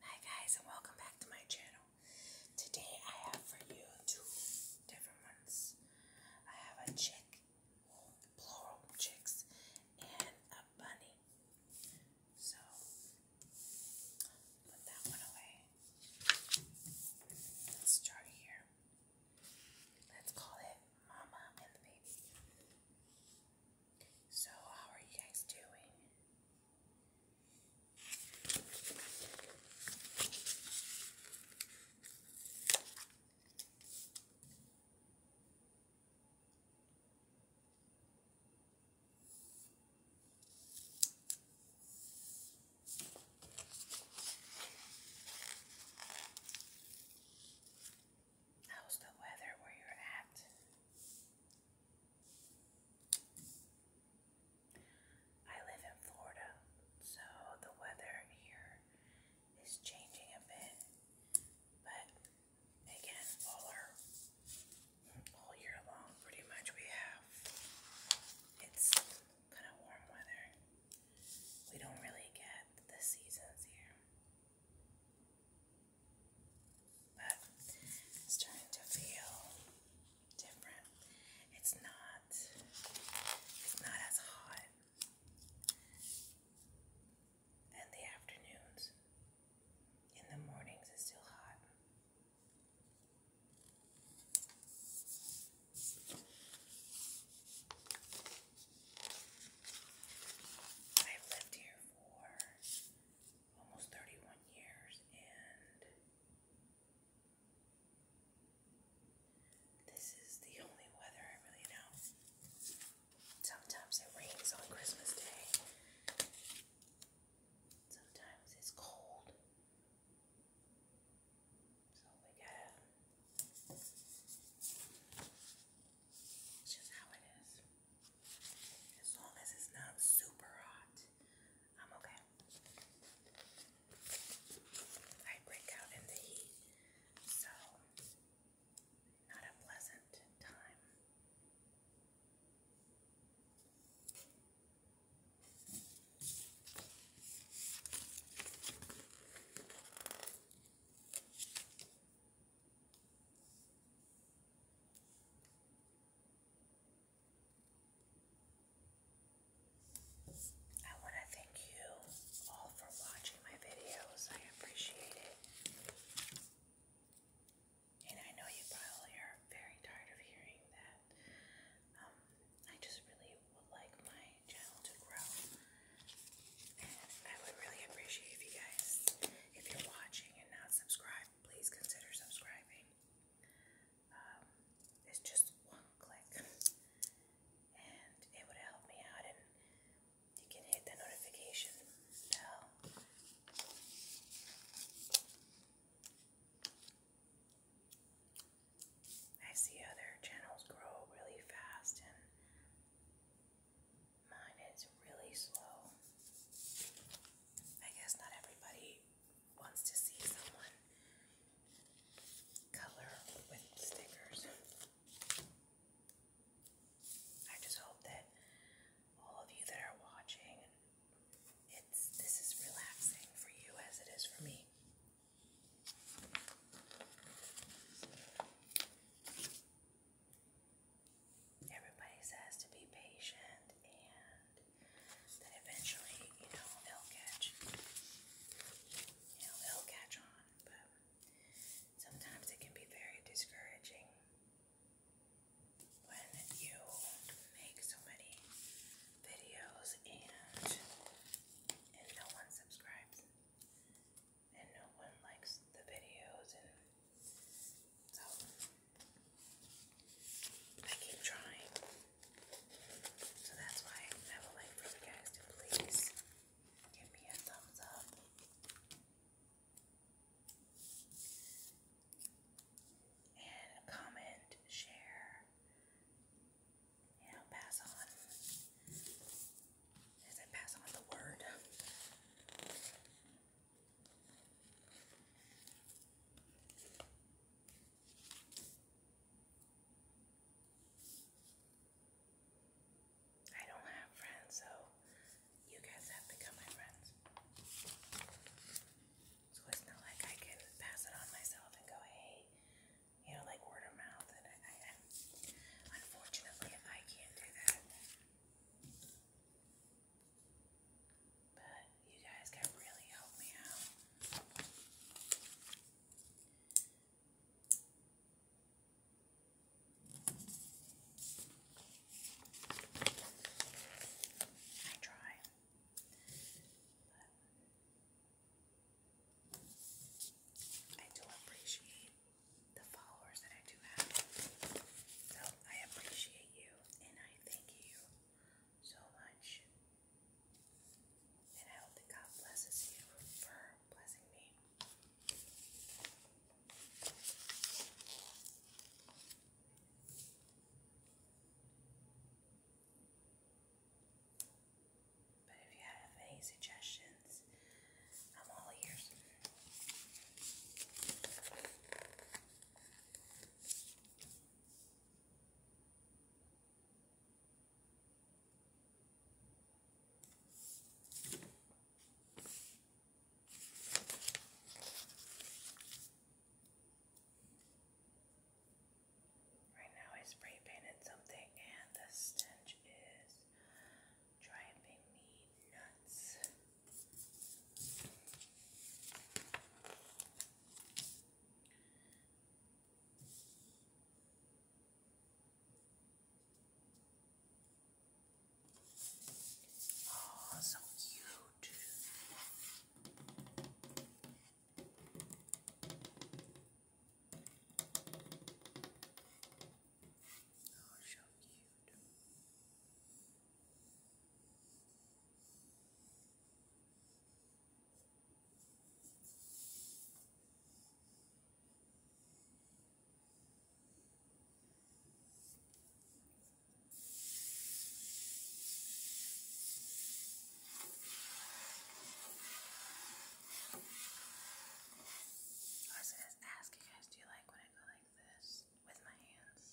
Hi guys and welcome back to my channel. Today I have for you two different ones. I have a chick, plural chicks, and a bunny. So put that one away. Let's start here. Let's call it Mama and the Baby. So, how are you guys doing? How's the weather where you're at? I live in Florida, so the weather here is changing a bit, but again, all year long, pretty much we have it's kind of warm weather we don't really get the seasons here. But it's starting to feel different. It's not it's not as hot in the afternoons. In the mornings it's still hot. I've lived here for almost 31 years and this is the only weather I really know. Sometimes it rains on Christmas Day. Sometimes it's cold. So we gotta, it's just how it is. As long as it's not super hot, I'm okay. I break out in the heat, so not a pleasant time. I want to thank you all for watching my videos. I appreciate it. And I know you probably are very tired of hearing that. Um, I just really would like my channel to grow. And I would really appreciate if you guys, if you're watching and not subscribed, please consider subscribing. Um, it's just one click, and it would help me out. And you can hit the notification bell. I see other channels grow really fast and mine is really slow. I guess not everybody wants to see someone color with stickers. I just hope that all of you that are watching, it's this is relaxing for you as it is for me. Everybody says to be patient and that eventually, you know, it'll catch. You know, it'll catch on, but sometimes it can be very discouraging when you make so many videos and and no one subscribes and no one likes the videos and so I keep trying. So that's why I would like for you guys to please give me a thumbs up. And comment, share, you know, pass on, as I pass on the word. I don't have friends, so you guys have become my friends. So it's not like I can pass it on myself and go, hey, you know, like word of mouth. And I, I, I can't do that. But you guys can really help me out. I try. I do appreciate the followers that I do have. So I appreciate you and I thank you so much. And I hope that God blesses you for blessing me. But if you have any suggestions, I'm all ears. Right now I spray painted something and the stench is driving me nuts. Oh, so cute. Oh, so cute. I was going to ask you guys, do you like when I go like this with my hands?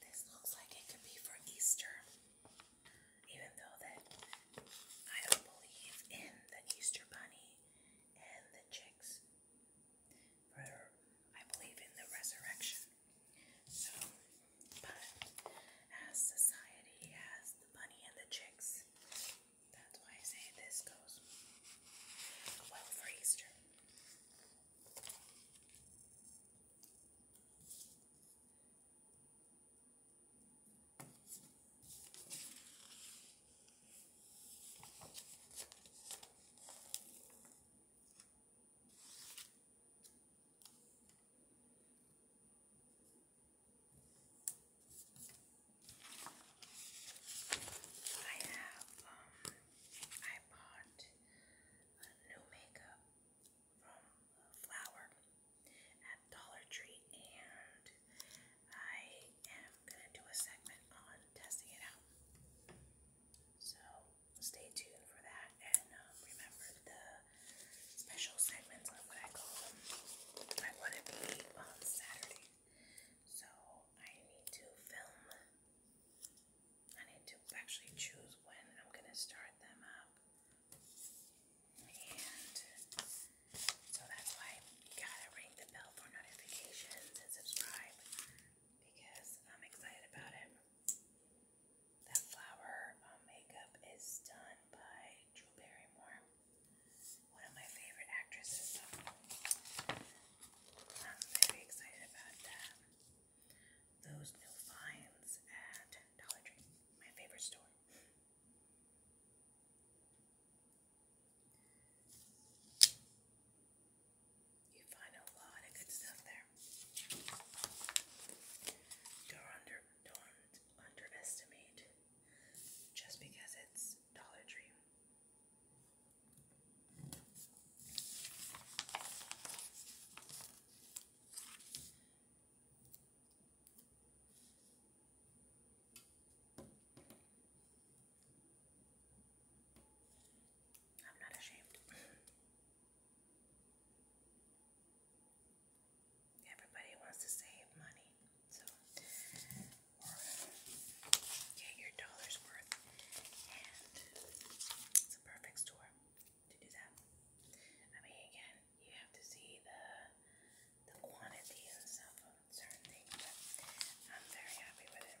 This looks like it could be for Easter, even though that I don't believe in the Easter bunny and the chicks for I believe in the resurrection. So, but as society has the bunny and the chicks, that's why I say this goes well for Easter. I have, um, I bought a new makeup from Flower at Dollar Tree, and I am gonna do a segment on testing it out. So, stay tuned for that and um, remember the special segments on what I call them. I want to be on Saturday, so I need to film. I need to actually choose when I'm going to start them up. And so that's why you gotta ring the bell for notifications and subscribe because I'm excited about it. That flower um, makeup is done by Drew Barrymore, one of my favorite actresses. I'm very excited about that. Those new finds at Dollar Tree, my favorite store. You find a lot of good stuff there. Don't, under, don't underestimate just because it's Dollar Tree. I'm not ashamed. Everybody wants to save money, so get your dollars worth, and it's a perfect store to do that. I mean, again, you have to see the the quantity and stuff of certain things, but I'm very happy with it.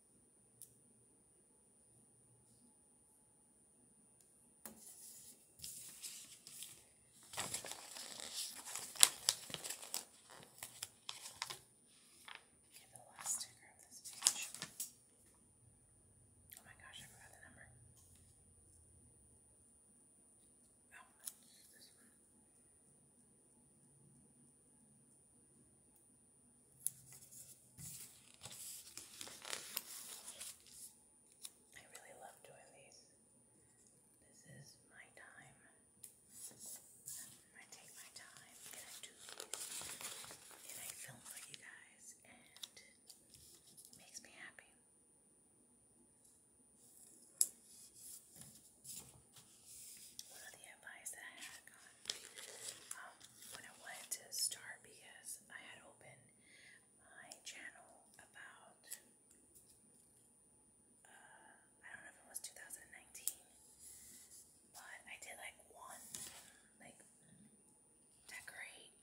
Okay, the last sticker of this page. Oh my gosh, I forgot the number. Oh, this one. I really love doing these. This is my time. I take my time and I do these and I film for you guys and it makes me happy one of the advice that I had gotten um, when I wanted to start because I had opened my channel about uh, I don't know if it was 2019, but I did like one like decorate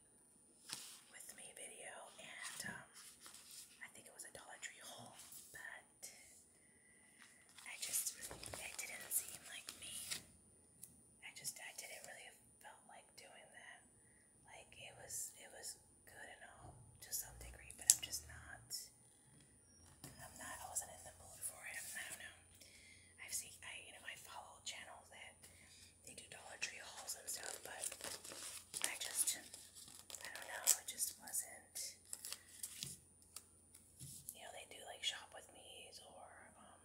with me video, and um, I think it was a Dollar Tree haul that I just really, didn't seem like me. I just, I didn't really felt like doing that. Like it was, it was good and all to some degree, but I'm just not. I'm not. I wasn't in the mood for it. I don't know. I've seen. I you know I follow channels that they do Dollar Tree hauls and stuff, but I just. I don't know. It just wasn't you know, they do like shop with me's or um,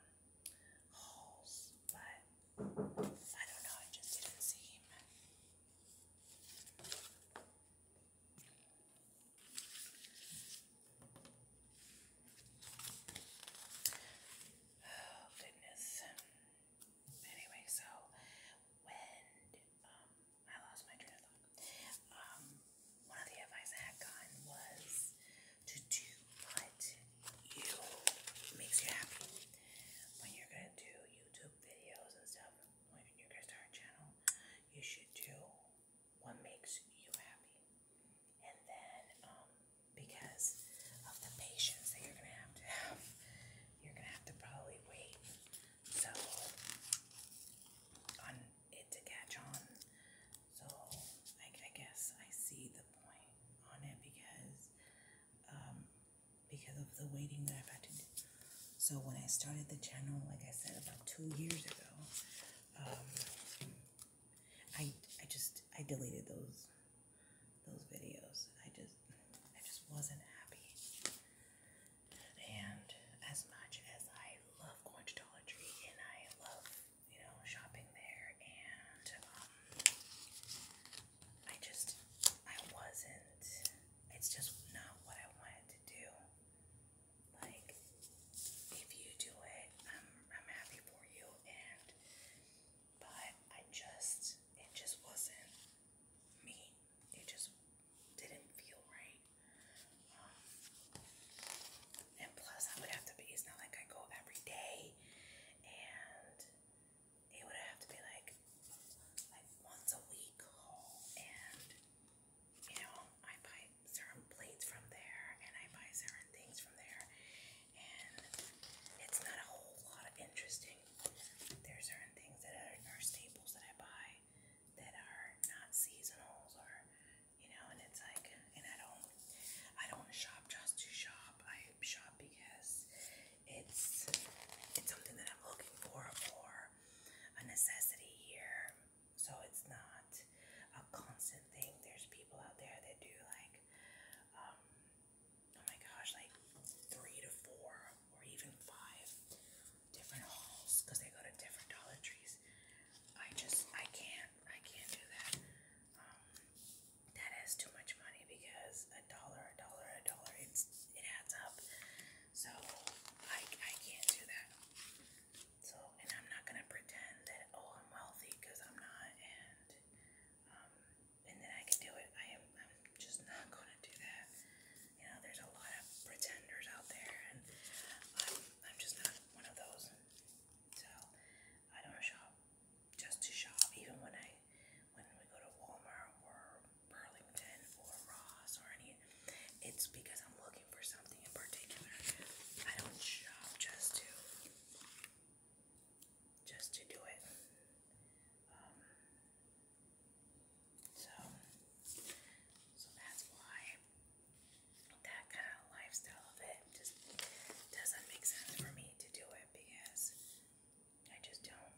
hauls, but I don't know, it just didn't seem. Oh goodness. Anyway, so when um I lost my train of thought. Um, one of the advice I had was to do what you makes you happy. When you're gonna do YouTube videos and stuff, when you're gonna start a channel, you should do what makes you happy. And then, um, because of the patience that you're gonna have to have, you're gonna have to probably wait so on it to catch on. So I, I guess I see the point on it because um, because of the waiting that I've had to do. So when I started the channel, like I said, about two years ago, um, I I just I deleted those those videos. I just I just wasn't happy. And as much as I love going to Dollar Tree and I love, you know, shopping there, and um, I just, I wasn't, it's just not what I wanted to do. Like, if you do it, I'm, I'm happy for you, and, but I just, it just wasn't me it just didn't feel right. Um, and plus, I would have to be, it's not like I go every day, and it would have to be like, like once a week haul. And, you know, I buy certain plates from there, and I buy certain things from there, and it's not a whole lot of interesting. There are certain things that are, are staples that I buy that are not seasonals or you know and it's like and I don't I don't shop just to shop. I shop because it's it's something that I'm looking for or a necessity here. So it's not a constant thing. There's people out there that do like um oh my gosh like three to four or even five different hauls because they go to different Dollar Trees. I just I can't I can't do that. Um, that is too much money because a dollar a dollar a dollar it's it adds up. So I I can't do that. So and I'm not gonna pretend that oh I'm wealthy because I'm not and um and then I can do it. I am I'm just not gonna do that. You know, there's a lot of pretenders out there, and I'm, I'm just not one of those. So I don't shop just to shop. Even when I, when we go to Walmart or Burlington or Ross or any, it's because I'm looking for something in particular. I don't shop just to, just to do it. Um, so, so that's why that kind of lifestyle of it just doesn't make sense for me to do it because I just don't.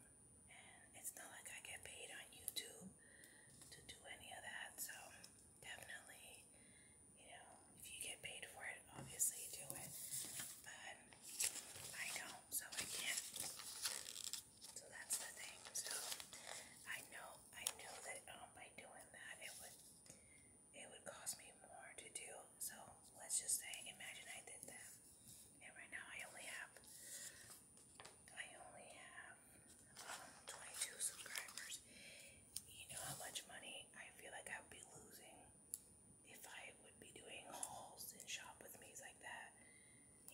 And it's not like I get paid on YouTube to do any of that. So, definitely, you know, if you get paid for it, obviously do it. But I don't, so I can't. So that's the thing. So I know I knew that um by doing that it would it would cost me more to do. So let's just say imagine I did that. And right now I only have I only have um 22 subscribers. You know how much money I feel like I would be losing if I would be doing hauls and shop with me's like that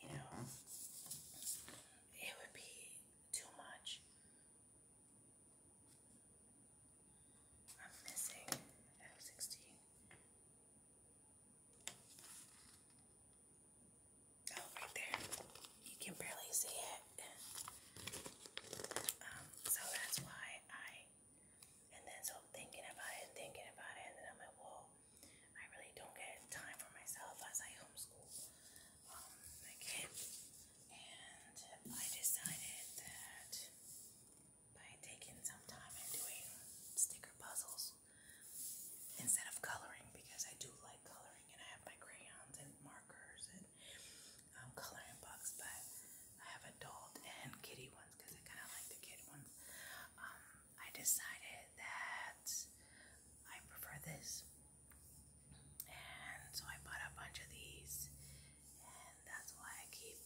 you know, it would be too much. I'm missing F16. Oh, right there. You can barely see it. Um, so that's why I, and then so thinking about it thinking about it, and then I'm like, well, I really don't get time for myself as I homeschool um, my kids. And I decided that by taking some time and doing sticker puzzles instead of coloring, because I do like coloring and I have my crayons and markers and um, coloring books, but I have adult and kitty ones because I kind of like the kid ones. Um, I decided that I prefer this. And so I bought a bunch of these, and that's why I keep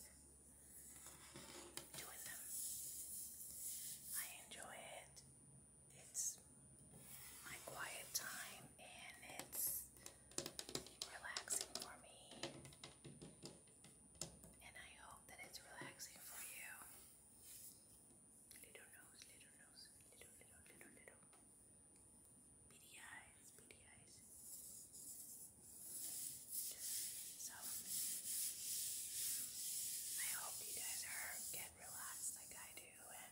doing them. I enjoy it. It's my quiet time, and it's relaxing for me. And I hope that it's relaxing for you. Little nose, little nose, little, little, little, little. Beady eyes, So, I hope you guys are get relaxed like I do. And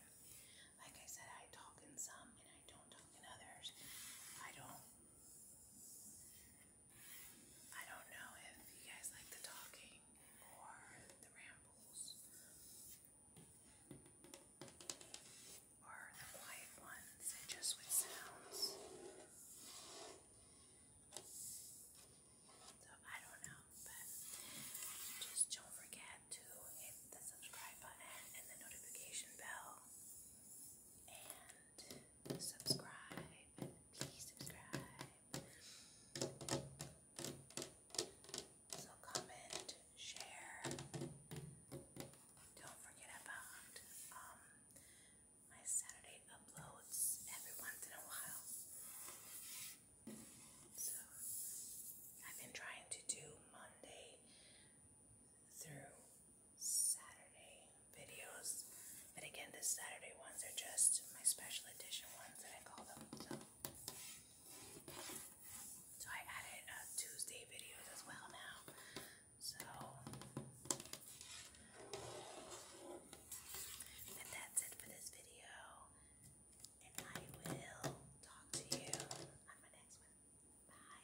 like I said, I talk in some and I don't talk in others. I don't. I don't know if you guys like the talking reading or the rambles or the quiet ones just with sounds. So I don't know, but just don't forget to hit the subscribe button and the notification bell and subscribe. Please subscribe. So comment, share. Don't forget about um, my Saturday uploads every once in a while. So I've been trying to do Monday through Saturday videos but again, the Saturday ones are just my special edition ones that I call them. So, I added uh, Tuesday videos as well now. So, and that's it for this video. And I will talk to you on my next one. Bye.